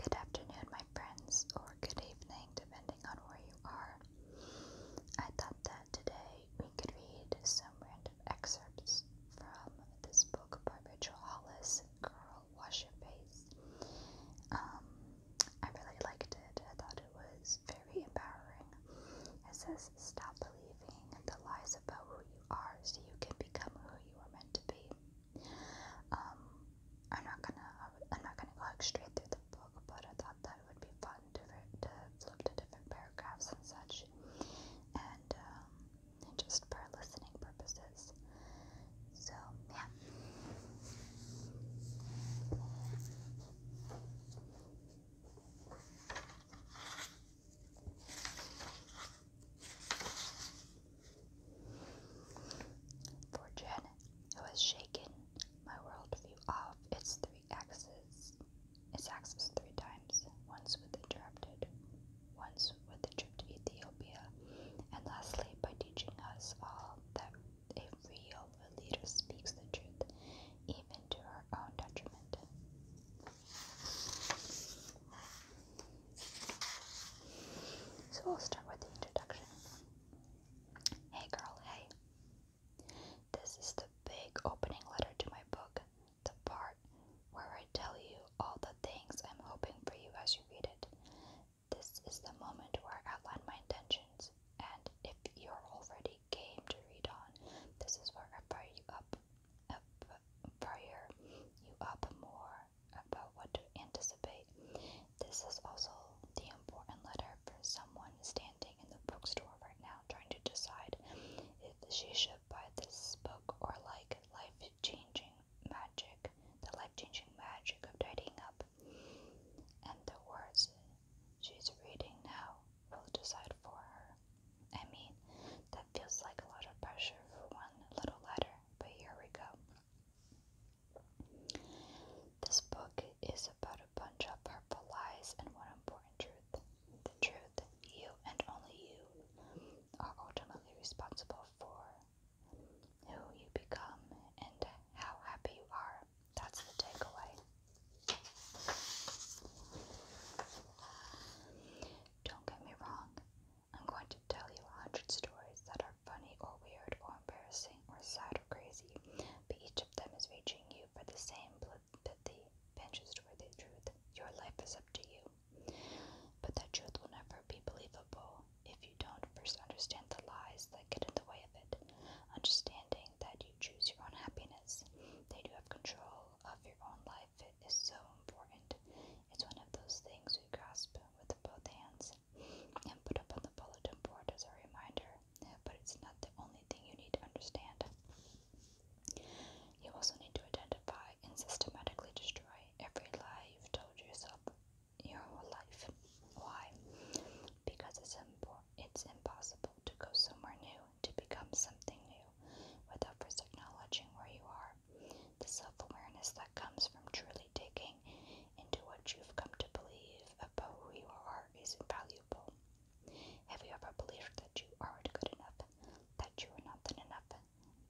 Good afternoon, my friends, or good evening, depending on where you are. I thought that today we could read some random excerpts from this book by Rachel Hollis, Girl Wash Your Face. Um, I really liked it. I thought it was very empowering. It says, Stop believing the lies about who you are so you can become who you are meant to be. Um, I'm not gonna I'm not gonna go straight through the book, but I thought that would be fun to, to flip to different paragraphs and such, and um, just for listening purposes. So yeah. For Janet, who has shaken my worldview off its three axes, its axes three times, once with interrupted, once with the trip to Ethiopia, and lastly by teaching us all that a real leader speaks the truth, even to her own detriment. So we'll start with the introduction. Hey girl, hey. This is the big opening letter to my book, the part where I tell you all the things I'm hoping for you as you read it. This is the moment where I outline my intentions, and if you're already game to read on, this is where I fire you up, up uh, fire you up more about what to anticipate. This is also the important letter for someone standing in the bookstore right now trying to decide if she should buy this book or like life changing magic, the life changing magic of tidying up. And the words she's reading now will decide for her. I mean, that feels like a lot of pressure for one little letter but here we go. This book is about a bunch of purple lies and one important truth. The truth you and only you are ultimately responsible for who you become and how happy you are. That's the takeaway. Don't get me wrong, I'm going to tell you a hundred stories that are funny or weird or embarrassing or sad or crazy, but each of them is reaching you for the same that pithy, pinches-worthy truth. Your life is up to you. But that truth will never be believable if you don't first understand the lies that get in the way of it. Understanding that you choose your own happiness, that you have control of your own life, it is so important. It's one of those things we grasp with both hands and put up on the bulletin board as a reminder, but it's not the only thing you need to understand. You also need to identify and systematically destroy every lie you've told yourself your whole life. Why? Because it's, impo- it's impossible to go somewhere new, to become something new, without first acknowledging where you are the self awareness that comes from truly digging into what you've come to believe about who you are is invaluable. Have you ever believed that you aren't good enough, that you are nothing enough,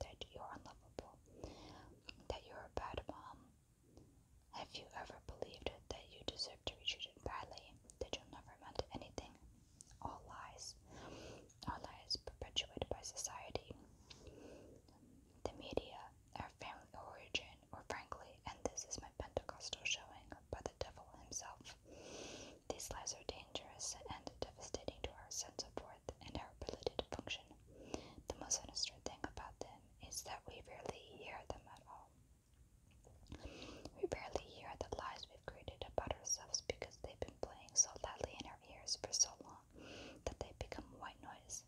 that you're unlovable, that you're a bad mom? Have you ever believed that you deserve to be treated badly, that you'll never amount to anything? All lies. Our lies perpetuated by society, the media, our family origin, or frankly, and this is my Pentecostal showing, by the devil himself. These lies are dangerous and devastating to our sense of worth and our ability to function. The most sinister thing about them is that we rarely hear them at all. We rarely hear the lies we've created about ourselves because they've been playing so loudly in our ears for so long that they become white noise.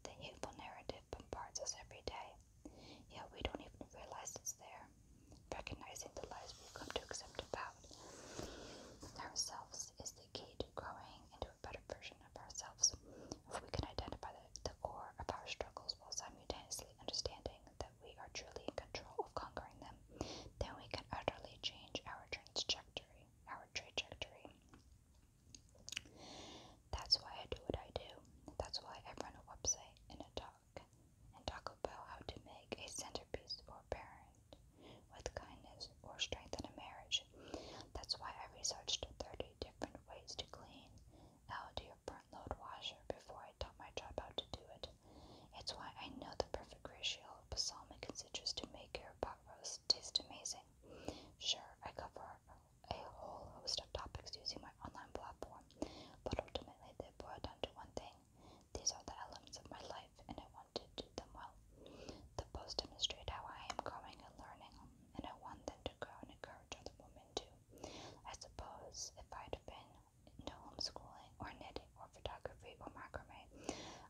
The hateful narrative bombards us every day, yet we don't even realize it's there. Recognizing the lies we've come to accept about ourselves is the key to growing into a better version of ourselves. If we can identify the, the core of our struggles while simultaneously understanding that we are truly in control of conquering them, then we can utterly change our trajectory our trajectory. That's why I do what I do. That's why I run a website and a talk and talk about how to make a centerpiece or parent with kindness or strengthen a marriage. That's why I researched 30 different ways to clean out your front load washer before I taught my job how to do it. It's why I know the perfect ratio of balsamic and citrus to make your taste amazing. Sure, I cover a whole host of topics using my online platform, but ultimately they boil down to one thing. These are the elements of my life, and I want to do them well. The posts demonstrate how I am growing and learning, and I want them to grow and encourage other women too. I suppose if I'd been into homeschooling or knitting or photography or macrame,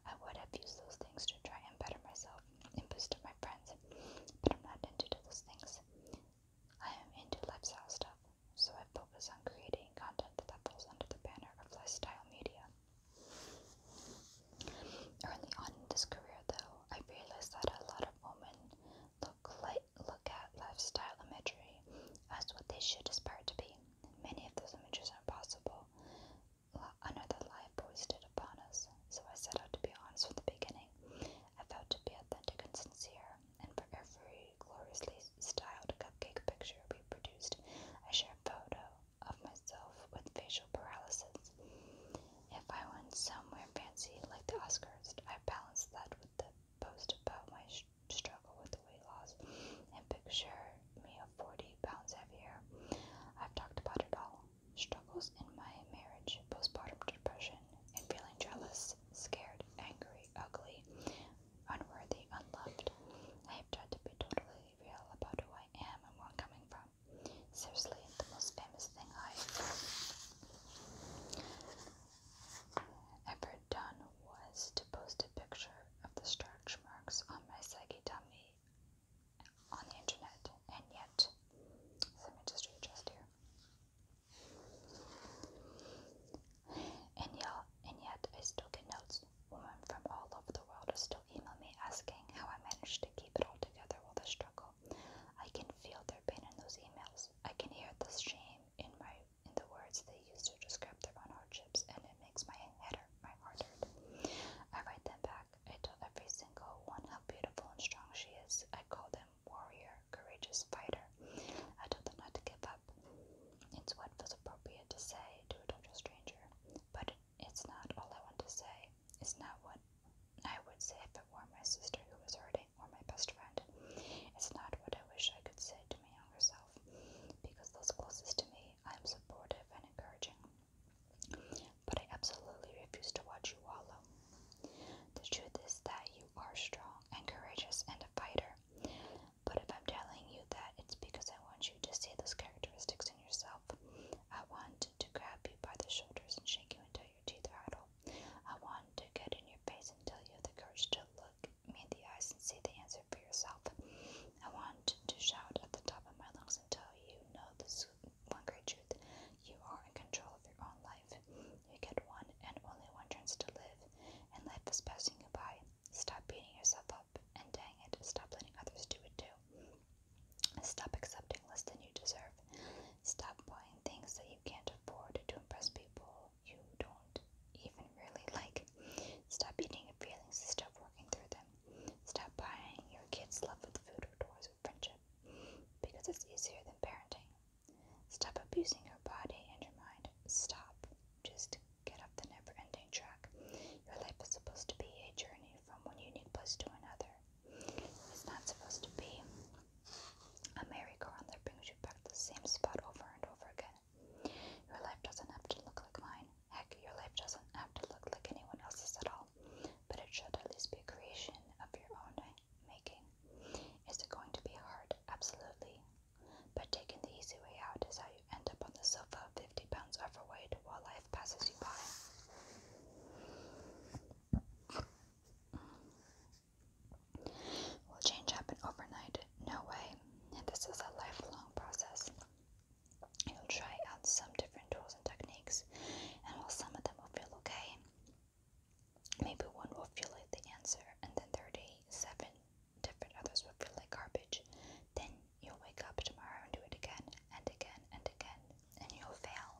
I would have used those things to try and better myself and boost my friends, but I'm not into those things. I am into lifestyle stuff, so I focus on creating content that falls under the banner of lifestyle media. Early on in this career, though, I realized that a lot of women look look at lifestyle imagery as what they should aspire to be. Many of those images are impossible, another lie foisted upon us, so I set out to be honest from the beginning. I felt to be authentic and sincere, and for every gloriously styled cupcake picture we produced, I shared a photo of myself with facial paralysis. If I went somewhere fancy like the Oscars, I balanced that with the post about my struggle with the weight loss and picture me of 40 pounds heavier. I've talked about it all struggles in my marriage, postpartum depression, and feeling jealous, scared, angry, ugly, unworthy, unloved. I have tried to be totally real about who I am and where I'm coming from. Seriously, the most famous thing I ever done was to post a picture of the stretch marks on my saggy tummy on the internet, and yet some industry just here. And, and yet, I still get notes. Women from all over the world are still email me asking how I managed to keep it all together while the struggle. I can feel their pain in those emails. I can hear the shame in my in the words they use to describe their own hardships, and it makes my head my heart hurt. I write them back. I tell every single one how beautiful and strong she is. I call them warrior, courageous fighter. I told them not to give up. It's what was appropriate to say to a total stranger. But it's not all I want to say. It's not what I would say if it were my sister who was hurting or my best friend. It's not what I wish I could say to my younger self. Because those closest to me, I am supportive and encouraging. But I absolutely refuse to watch you wallow. The truth is that you are strong and courageous and a fighter. But if I'm telling you that, it's because I want you to see those characteristics in yourself. I want to grab you by the shoulders and shake you until your teeth rattle. I want to get in your face and tell you the courage to look me in the eyes and see the answer for yourself. I want to shout at the top of my lungs doesn't tell you know the one great truth you are in control of your own life. You get one and only one chance to live, and life is passing you by. Stop beating yourself up, and dang it, stop letting others do it too. Stop accepting less than you deserve. Stop buying things that you can't afford to impress people you don't even really like. Stop eating your feelings instead of working through them. Stop buying your kids' love with food or toys with friendship because it's easier than parenting. Stop abusing your body and your mind. Stop. Just get off the never ending track. Your life is supposed to be a journey from one unique place to another. It's not supposed to be a merry-go-round that brings you back to the same spot over and over again. Your life doesn't have to look like mine. Heck, your life doesn't have to look like anyone else's at all, but it should at least be a creation of your own eh? making. Is it going to be hard? Absolutely. But taking the easy way out is how you end up on the sofa, 50 pounds overweight, while life passes you by. Will change happen overnight? No way. This is a lifelong process. You'll try out some different tools and techniques, and while some of them will feel okay, maybe one will feel like the answer, and then 37 different others will feel like garbage. Then you'll wake up tomorrow and do it again, and again, and again, and you'll fail.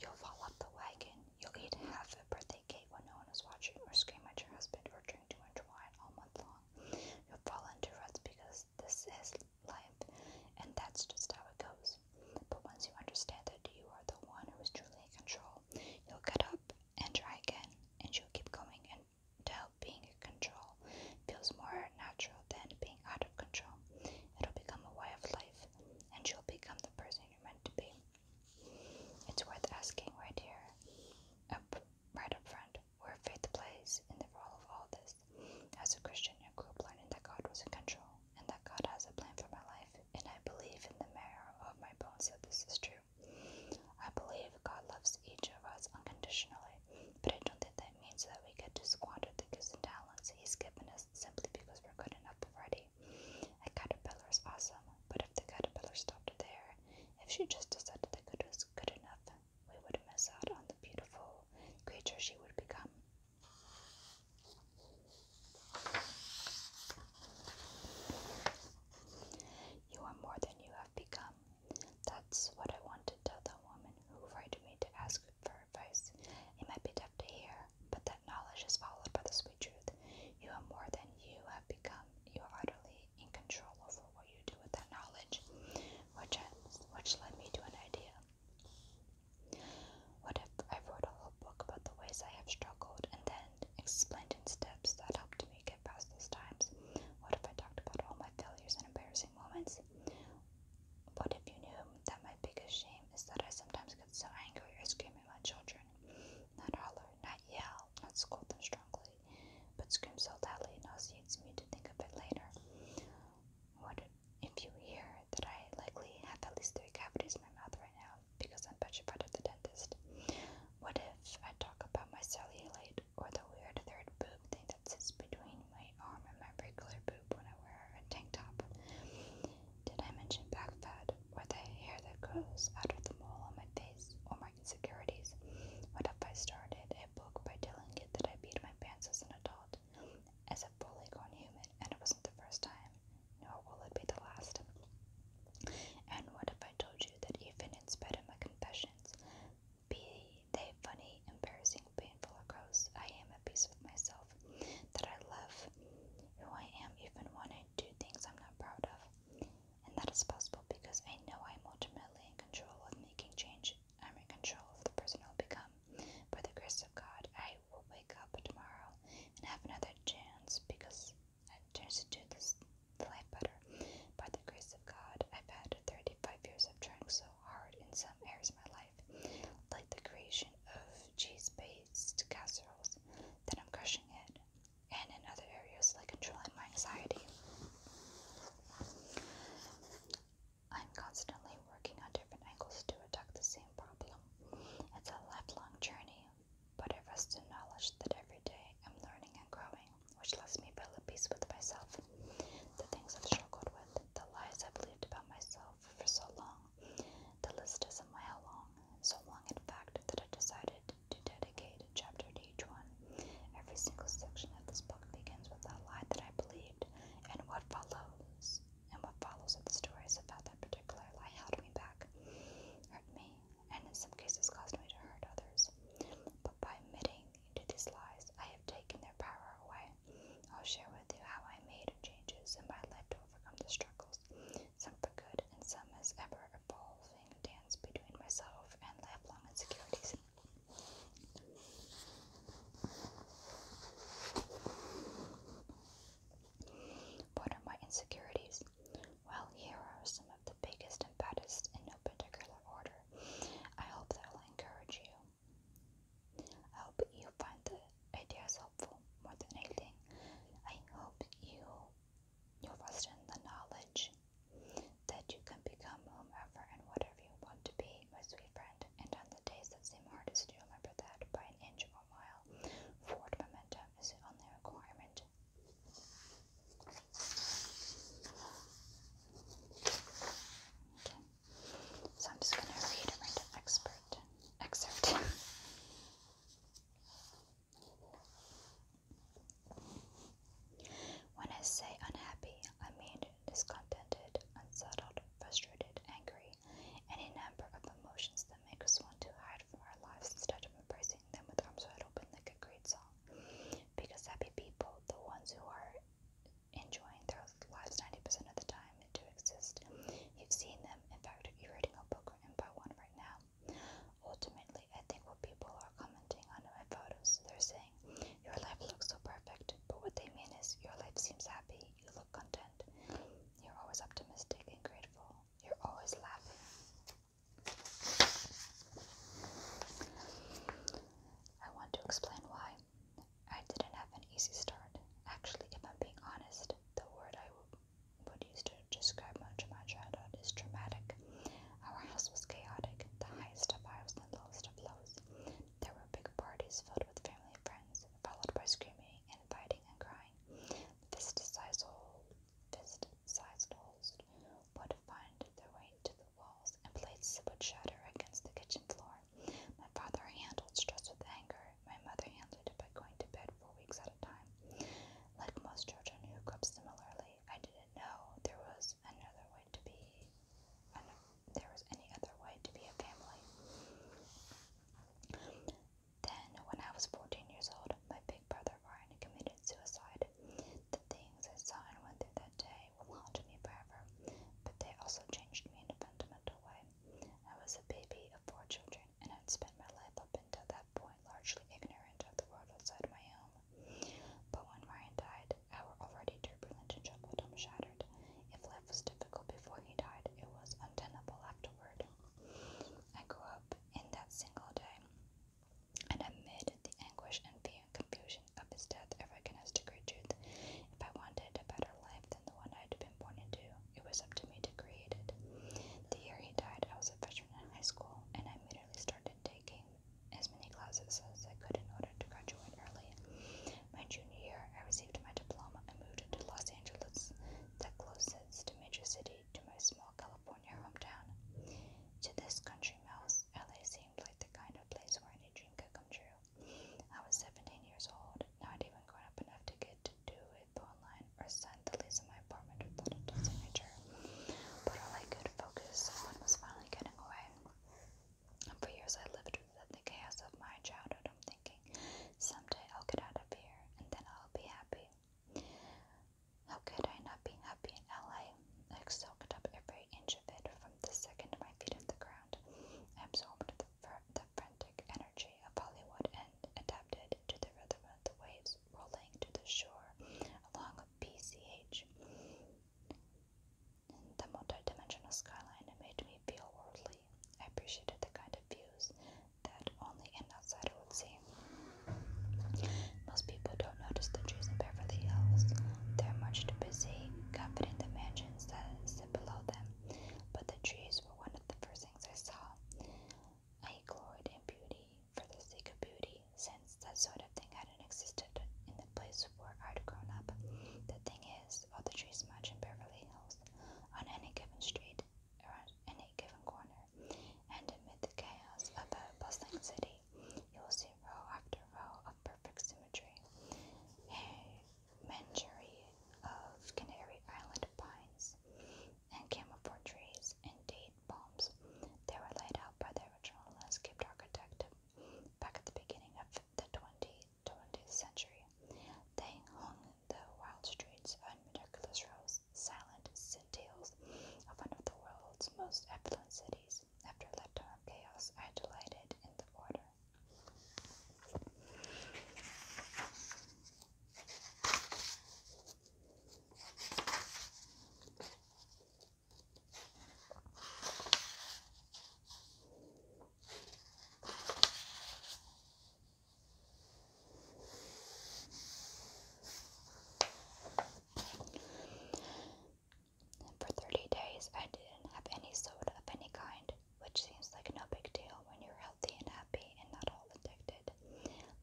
You'll fall up the wagon, you'll eat half a birthday cake when no one is watching, or scream at your husband, or drink to much wine all month long. You'll fall into ruts because is this is life, and that's just how it goes. But once you understand that you are the one who is truly in control, you'll get up and try again, and you'll keep going until being in control feels more natural than being out of control. It'll become a way of life, and you'll become the person you're meant to be. It's worth asking right here, up right up front, were fifth place in the role of all this. As a Christian, I grew learning that God was in control and that God has a plan for my life, and I believe in the marrow of my bones that this is true. I believe God loves each of us unconditionally, but I don't think that means that we get to squander the gifts and talents He's given us simply because we're good enough already. A caterpillar is awesome, but if the caterpillar stopped there, if she just decided that good was good enough, we would miss out on the beautiful creature she would become. You are more than you have become. That's what I want to tell the woman who frightened me to ask for advice. It might be tough to hear, but that knowledge is followed by the sweet truth. You are more than you have become. You are utterly in control of for what you do with that knowledge, which, which led me to an idea. What if I wrote a whole book about the ways I have struggled and then explained in steps that helped me get past those times? What if I talked about all my failures and embarrassing moments? What if you knew that my biggest shame is that I sometimes get so angry or scream at my children? Not holler, not yell, not scold them strongly, but scream so loudly it nauseates me to think of it later what if you hear that I likely have at least three cavities in my mouth right now because I'm petrified of the dentist? What if I talk about my cellulite or the weird third boob thing that sits between my arm and my regular boob when I wear a tank top? Did I mention back fat or the hair that grows out of the mole on my face or my insecurities? What if I started a book by telling it that I beat my pants as an adult? as a fully grown human, and it wasn't the first time, nor will it be the last. And what if I told you that even in spite of my confessions, be they funny, embarrassing, painful, or gross, I am at peace with myself, that I love who I am even when I do things I'm not proud of. And that is possible because I know I'm ultimately in control of making change. I'm in control of the person I'll become. By the grace of God, I will wake up tomorrow and have another chance because I chance to do this life better. By the grace of God, I've had 35 years of trying so hard in some areas of my life, like the creation of cheese-based casseroles, that I'm crushing it, and in other areas like controlling my anxiety. I'm constantly working on different angles to attack the same problem. It's a lifelong journey, but it rests in knowledge that every day I'm learning and growing, which lets me feel at peace with myself. The things I've struggled with, the lies I believed about myself for so long, the list is a mile long, so long in fact that I decided to dedicate a chapter to each one. Every single section of this book begins with a lie that I believed, and what follows and what follows are the stories about that particular lie held me back, hurt me, and in some cases caused me to hurt others. But by admitting into these lies, I have taken their power away. I'll share with you how I made changes and by life to overcome the struggles, some for good and some as ever evolving dance between myself and lifelong insecurities. What are my insecurities? Well, here are some of the biggest and baddest in no particular order. I hope that will encourage you. I hope you find the ideas helpful more than anything. I hope you you rest in the knowledge that you can become whomever and whatever you want to be, my sweet and on the days that seem hardest, you remember that by an inch or mile, forward momentum is the only requirement. So I'm just going to read a random expert excerpt. When I say unhappy, I mean discontented, unsettled, frustrated, angry, any number of emotions that make us want to hide from our lives instead of embracing them with arms wide open like a great song. Because happy people, the ones who are enjoying their lives 90% of the time do exist. You've seen them. In fact, you're reading a book written by one right now. Ultimately, I think what people are commenting on my photos, they're saying, your life looks so perfect, but what they mean is your life seems happy, you look content, you're always optimistic and grateful, you're always laughing. I want to explain why. I didn't have an easy start. Actually, if I'm being honest, the word I would use to describe much of my childhood is dramatic. Our house was chaotic, the highest of highs and lowest of lows. There were big parties filled with family and friends, followed by screaming and fighting and crying. The fist-sized fist-sized holes would find their way to the walls, and plates would shatter against the kitchen floor. My father handled stress with anger. My mother handled it by going to bed for weeks at a time. Like most children who grew up similarly, I didn't know there was another way to be and if there was any other way to be a family. Then, when I was 14 years old, my big brother Ryan committed suicide. The things I saw and went through that day will haunt me forever, but they also changed me in a fundamental way. I was a baby of four children and had spent my life up until that point largely ignorant of the world outside my home. But when Ryan died, our already turbulent and troubled home shattered. If life was difficult before he died, it was untenable afterward. I grew up in that single day, and amid the anguish and fear and confusion of his death, I recognized the great truth. If I wanted a better life than the one I had been born into, it was up to me to create it. The year he died, I was a freshman in high school, and I immediately started taking as many classes as I could in order to graduate early. My junior year, I received my diploma and moved to Los Angeles, the closest major city to my small California hometown. To this country mouse, LA seemed like the kind of place where any dream could come true. I was 17 years old, not even grown up enough to get to do it online or sign the lease of my apartment without a signature. But I like good focus on was finally getting away. And for years I lived within the chaos of my childhood. I'm thinking, someday I'll get out of here and then I'll be happy. How could I not be happy in LA? I soaked up every inch of it from the second my feet hit the ground. absorbed the, frantic energy of Hollywood and adapted to the rhythm of the waves rolling to the shore along a BCH. The multi-dimensional skyline. made me feel worldly. I appreciated the kind of views that only an outsider would see. Most people don't notice the trees in Beverly Hills. They're much too busy coveting the mansions that sit below them. But the trees were one of the first things I saw. I gloried in beauty for the sake of beauty, since that sort of thing hadn't existed in the place where I'd grown up. The thing is of the trees much in Beverly Hills, on any given street, around any given corner, and amid the chaos of a bustling city, you will see row after row of perfect symmetry, a menagerie of Canary Island pines and camouflage trees and date palms. They were laid out by the original landscape architect back at the beginning of the 20th 20th century. They hung the wild streets on miraculous roads, silent citadels of one of the world's most affluent cities. After a lifetime of chaos, I delighted in the order. For 30 days, I didn't have any soda of any kind, which seems like no big deal when you're healthy and happy and not all addicted.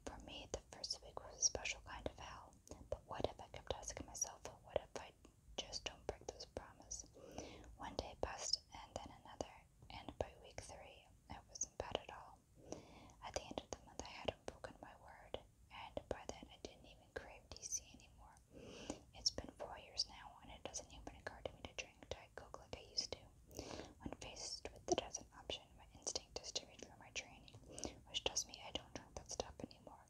For me, the first week was a special kind of hell, but what if I kept asking myself, what if I just don't break this promise. One day passed, and then another, and by week three, I wasn't bad at all. At the end of the month, I hadn't broken my word, and by then, I didn't even crave DC anymore. It's been four years now, and it doesn't even occur to me to drink Diet Coke like I used to. When faced with the as option, my instinct is to read through my training, which tells me I don't drink that stuff anymore.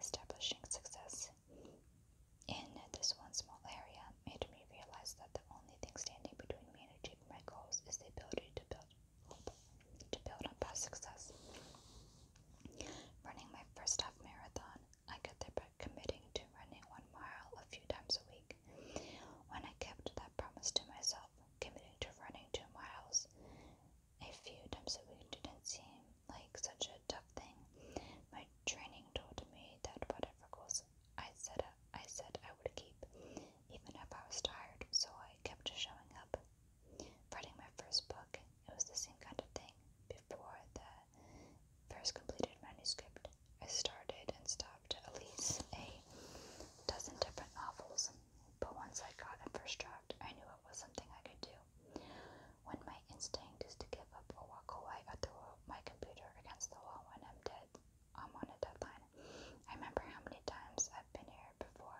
Establishing success in this one small area made me realize that the only thing standing between me and achieving my goals is the ability to build to build on past success. Running my first half marathon, I got there by committing to running one mile a few times a week. When I kept that promise to myself, committing to running two miles a few times a week didn't seem like such a tough thing. My training told me that whatever goals I set I said I would keep, even if I was tired, so I kept showing up. Writing my first book, it was the same kind of thing. Before the first completed manuscript, I started and stopped at least a dozen different novels, but once I got the first draft, I knew it was something I could do when my instinct is to give up or walk away or throw my computer against the wall when I'm dead. I'm on a deadline. I remember how many times I've been here before.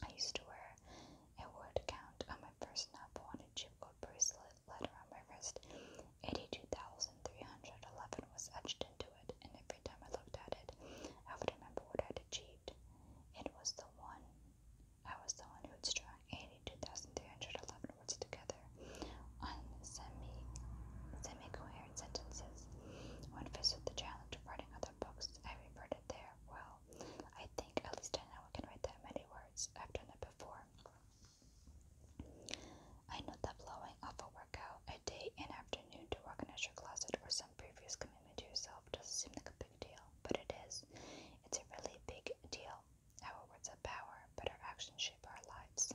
I used to wear a word count on my first novel on a chip gold bracelet letter on my wrist. 82,311 was etched into it, and every time I looked at it, I would remember what I'd achieved. It was the one I was the one who had strung 82,311 words together on semi, semi-coherent sentences. When faced with the challenge of writing other books, I reverted there. Well, I think at least I know I can write that many words. I've done it before. I know that blowing off a workout, a day, and afternoon to organize your closet, or some previous commitment to yourself doesn't seem like a big deal, but it is. It's a really big deal. Our words have power, but our actions shape our lives.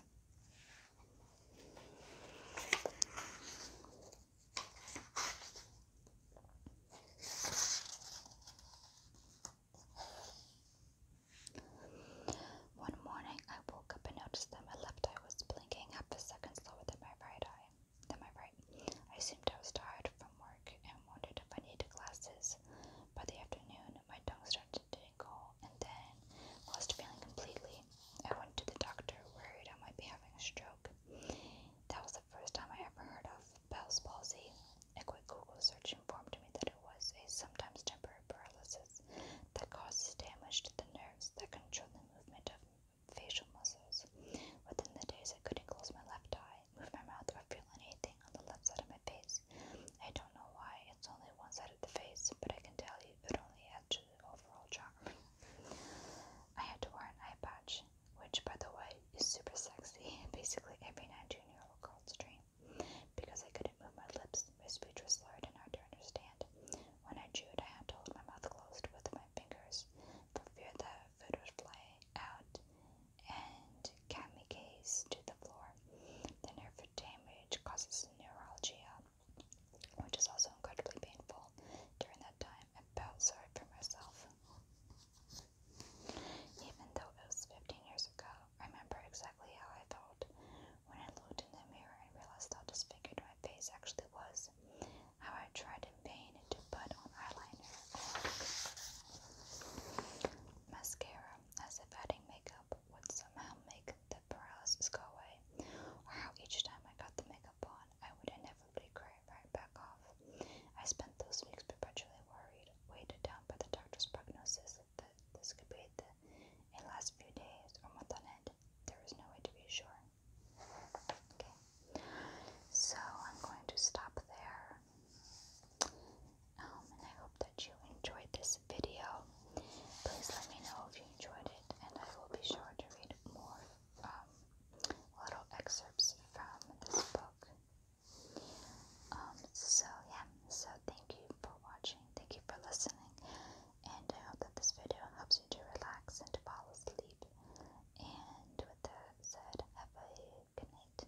One morning, I woke up and noticed that my left eye was blinking half a second slower than my right eye. Than my right. I assumed I was tired from work and wondered if I needed glasses. By the afternoon, my tongue started to tingle, and then, lost feeling completely, I went to the doctor, worried I might be having a stroke. That was the first time I ever heard of Bell's palsy. A quick Google search informed me that it was a sometimes temporary paralysis that causes damage to the nerves that control the movement of facial muscles. Within the days, I couldn't close my left eye, move my mouth, or feel anything on the left side of my face. I don't know why, it's only one side of the face, but I can tell you it only adds to the overall charm. I had to wear an eye patch, which, by the way, is super sexy, basically every 19 year old girl's dream, because I couldn't move my lips, my speech was slurred and hard to understand. When I chewed, I had to hold my mouth closed with my fingers for fear that food would fly out and kamikaze to the floor. The nerve damage causes neuralgia, which is also incredibly painful. During that time, I felt sorry for myself. Even though it was 15 years ago, I remember exactly how I felt when I looked in the mirror and realized how disfigured my face actually was. How I tried in vain to put on eyeliner, mascara, as if adding makeup would somehow make the paralysis go away, or how each time I got the makeup on, I would inevitably cry right back off. I spent those weeks perpetually worried, weighed down by the doctor's prognosis that this could be the in last few days or month on end. There was no way to be sure. Okay, so I'm going to stop there. Um, and I hope that you enjoyed this video. Please let me know if you enjoyed it, and I will be sure to read more um, little excerpts from this book. Um, so, yeah, so thank you for watching, thank you for listening, and I hope that this video helps you to relax and to fall asleep. And with that said, have a good night.